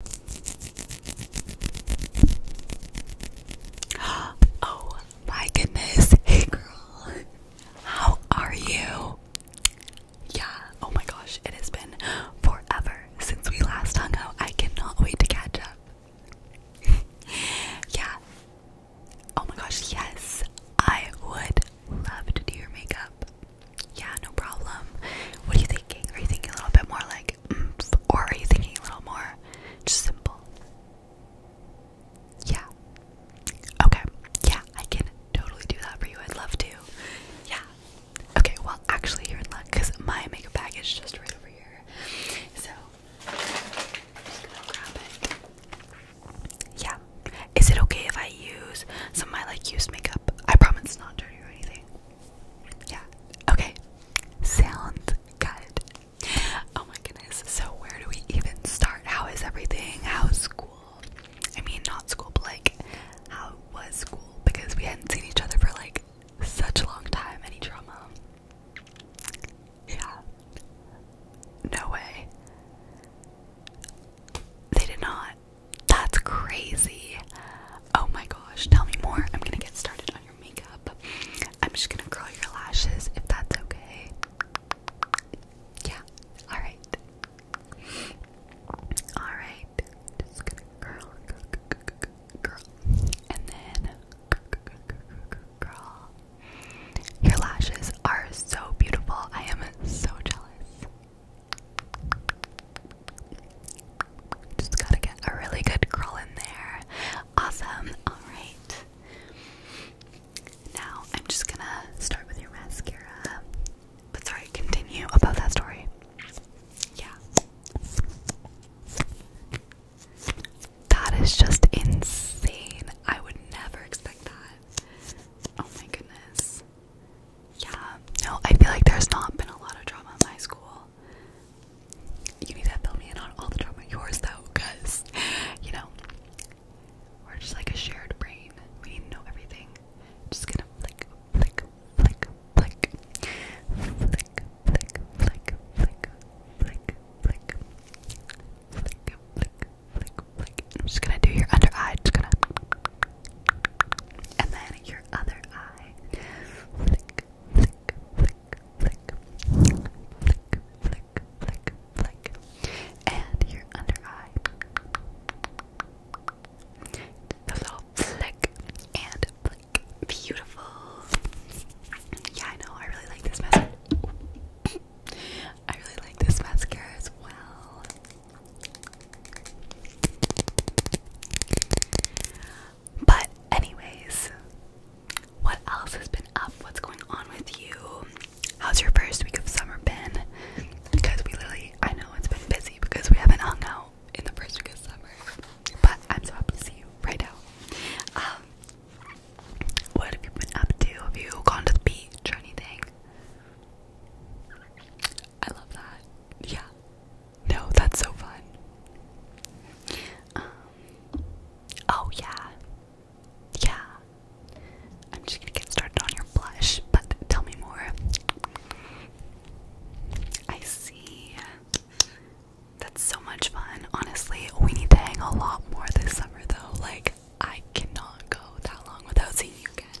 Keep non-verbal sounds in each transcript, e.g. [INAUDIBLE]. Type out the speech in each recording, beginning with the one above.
[GASPS] Oh my goodness. Hey girl. How are you? Yeah. Oh my gosh. It has been forever since we last hung out. I cannot wait to catch up. [LAUGHS] yeah. Oh my gosh. Yes. I would love to do your makeup. Yeah, no problem. What are you thinking? Are you thinking a little bit more like, or are you thinking a little more just simple? Yeah. Okay. Yeah, I can totally do that for you. I'd love to. Yeah. Okay, well, actually, you're in luck because my makeup bag is just right over here. So, I'm just gonna grab it. Yeah. Is it okay if I use some of my like used makeup? I promise it's not dirty or anything. Yeah. Okay. Sounds good. Oh my goodness. So where do we even start? How is everything? How's school? I mean, not school, but like, how was school? Because we hadn't seen each other for like such a long time. Any drama? Yeah. No way. They did not. That's crazy. Oh my gosh, tell me more. I'm gonna get started on your makeup. I'm just gonna curl your lashes if that's okay. Yeah, alright. Alright, just gonna curl, curl, and then curl. Your lashes are so beautiful. I am so jealous. Just gotta get a really good curl in there. Awesome. Alright. Now I'm just gonna start with your mascara. But sorry, continue about that story. Yeah. That is just insane. I would never expect that. Oh my goodness is. Yeah, no, I feel like there's not been a lot of drama in my school. You need to fill me in on all the drama yours though, because, you know, we're just like a shared brain. We need to know everything. Just gonna flick, flick, flick, flick. Flick, flick, flick, flick, flick, flick. Flick, flick, flick, flick. I'm just gonna do your under eye. Just gonna and then your other eye. Flick, flick, flick, flick. Flick, flick, flick, flick. And your under eye. The little flick and flick. Beautiful. Yeah, I know. I really like this message. [COUGHS] I really like this mascara as well. But, anyways, what else has been up? What's going on with you? How's your first week of summer been? Because we literally, I know it's been busy because we haven't hung out in the first week of summer. But I'm so happy to see you right now. Um, what have you been up to? Have you gone to the beach or anything? I love that. Yeah. No, that's so fun. Um, oh, yeah. Yeah. I'm just gonna get started on your blush, but tell me more. I see. That's so much fun. Honestly, we need to hang a lot more this summer, though. Like, I cannot go that long without seeing you again.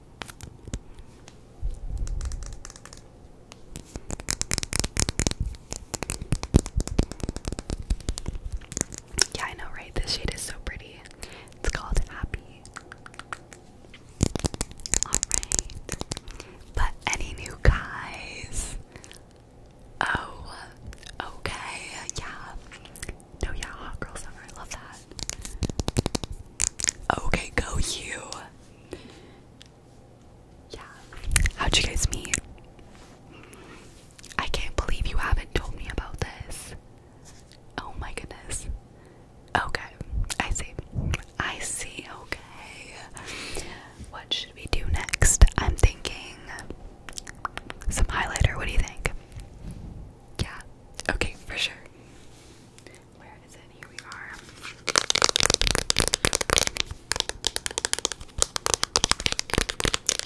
Yeah, I know, right? This shade is so pretty. It's called Happy. Alright. But any new guys? Oh, okay. Yeah. No, yeah, hot girl Love that. Okay, go you. Yeah. How'd you guys meet? I can't believe you haven't told me about this. Oh my goodness. Okay, I see. I see, okay. What should we do next? I'm thinking some highlighter. What do you think? Yeah, okay, for sure. Where is it? Here we are.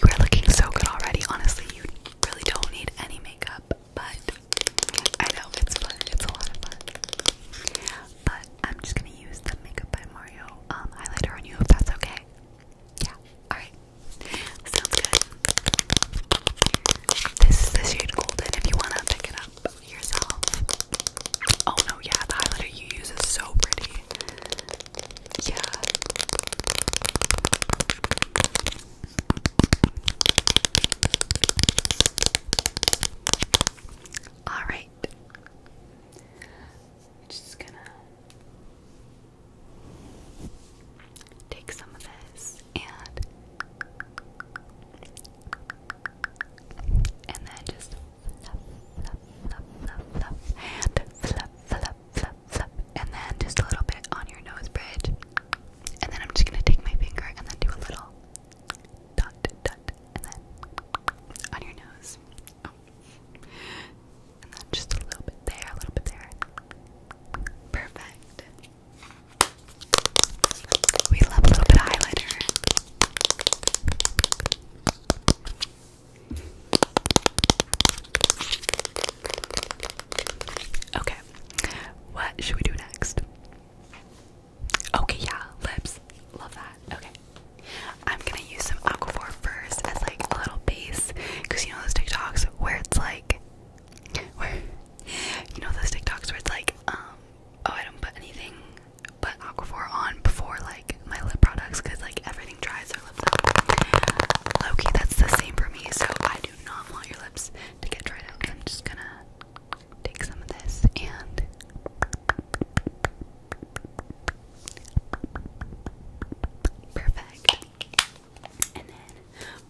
You are looking so good already. Honestly, you really don't need any makeup, but I know it's fun. It's a lot of fun. But I'm just gonna use the Makeup by Mario um, highlighter on you if that's okay. Yeah. Alright. Sounds good. This is the shade Golden if you wanna pick it up yourself. Oh no, yeah, the highlighter you use is so pretty. Yeah. Alright. just gonna take some of this and and then just and and then just a little bit on your nose bridge, and then I'm just gonna take my finger and then do a little dot, dot, and then on your nose, oh. and then just a little bit there, a little bit there, perfect. We love a little bit highlighter. Okay, what should we do next? Okay, yeah, lips. Love that. Okay. I'm gonna use some Aquaphor first as like a little base because you know those TikToks where it's like where you know those TikToks where it's like, um, oh, I don't put anything but Aquaphor on before like my lip products because like everything dries their lips out. Loki, that's the same for me. So I do not want your lips to get dried out. I'm just gonna take some of this and. Perfect. And then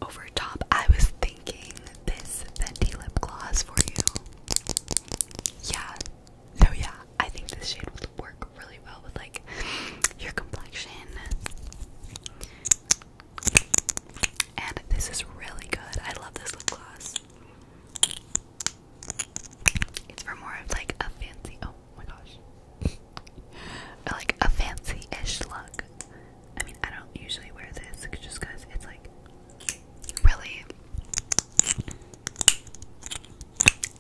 over top, I was thinking this Fenty lip gloss for you. Yeah. So yeah, I think this shade would work really well with like your complexion. And this is really good. I love this lip gloss. It's for more of like a fancy. Oh my gosh. [LAUGHS] like a fancy-ish look. I mean, I don't usually wear this just because it's like really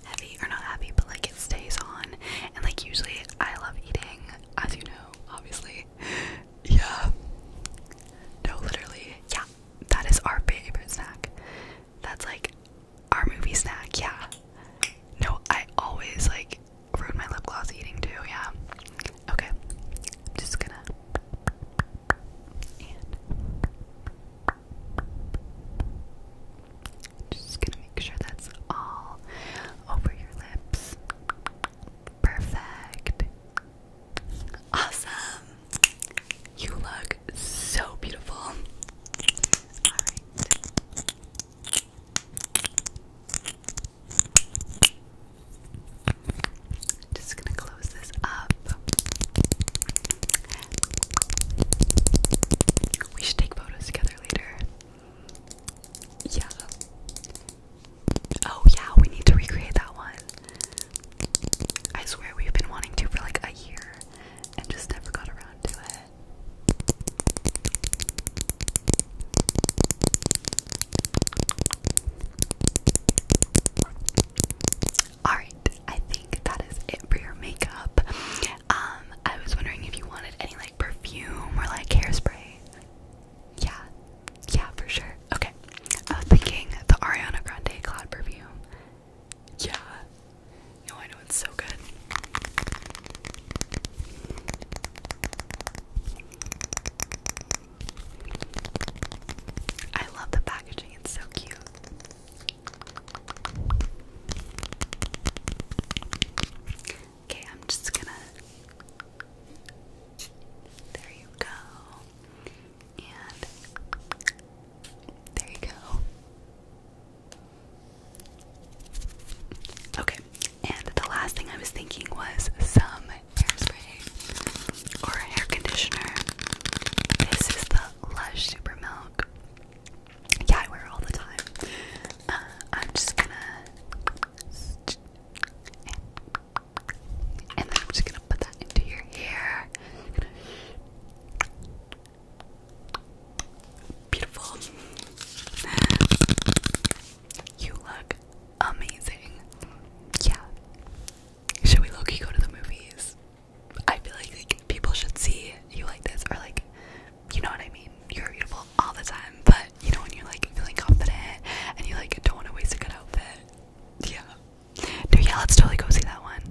heavy or not heavy, but like it stays on. And like, usually, I love eating, as you know, obviously. [LAUGHS] Yeah. No, literally, yeah. That is our favorite snack. That's like our movie snack, yeah. No, I always like ruined my lip gloss eating too, yeah. Okay. Just gonna just gonna make sure that's all over your lips. Perfect. Awesome. You look so beautiful. Just gonna close this up. We should take photos together later. Yeah. Oh, yeah, we need to recreate that one. I swear we've been wanting to for like a year and just never got around to it. Alright, I think that is it for your makeup. Um, I was wondering if you wanted any like perfume or like hairspray. Yeah, yeah, for sure. Okay, I was thinking the Ariana Grande Cloud perfume. Yeah, no, I know know, it's so good. I love the packaging, it's so cute. Okay, I'm just gonna. There you go. And there you go. Okay, and the last thing I was thinking was some hairspray or hair conditioner. This is the Lush Super Milk. Yeah, I wear all the time. Uh, I'm just gonna. And then I'm just gonna put that into your hair. Beautiful. You look amazing. Yeah. Should we low go to the movies? I feel like, like people should see you like this or like you know what I mean? You're beautiful all the time, but you know when you're like feeling confident and you like don't want to waste a good outfit. Yeah. Dude, yeah, let's totally go see that one.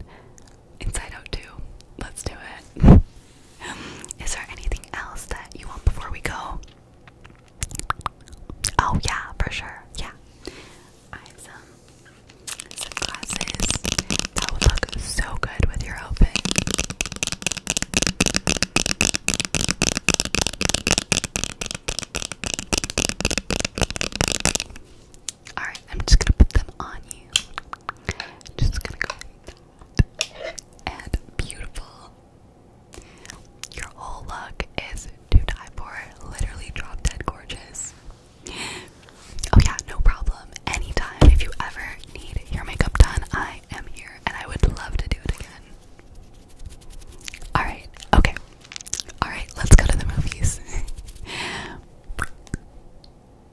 Inside Out 2. Let's do it. [LAUGHS] Is there anything else that you want before we go? Oh, yeah, for sure. Yeah. I have some glasses that would look so good with your outfit. Alright, I'm just gonna put them on you. Just gonna go and beautiful. Your whole look is to die for. Literally drop dead gorgeous. Oh yeah, no problem. Anytime if you ever need your makeup done, I am here and I would love to do it again. Alright, okay. Alright, let's go to the movies. [LAUGHS]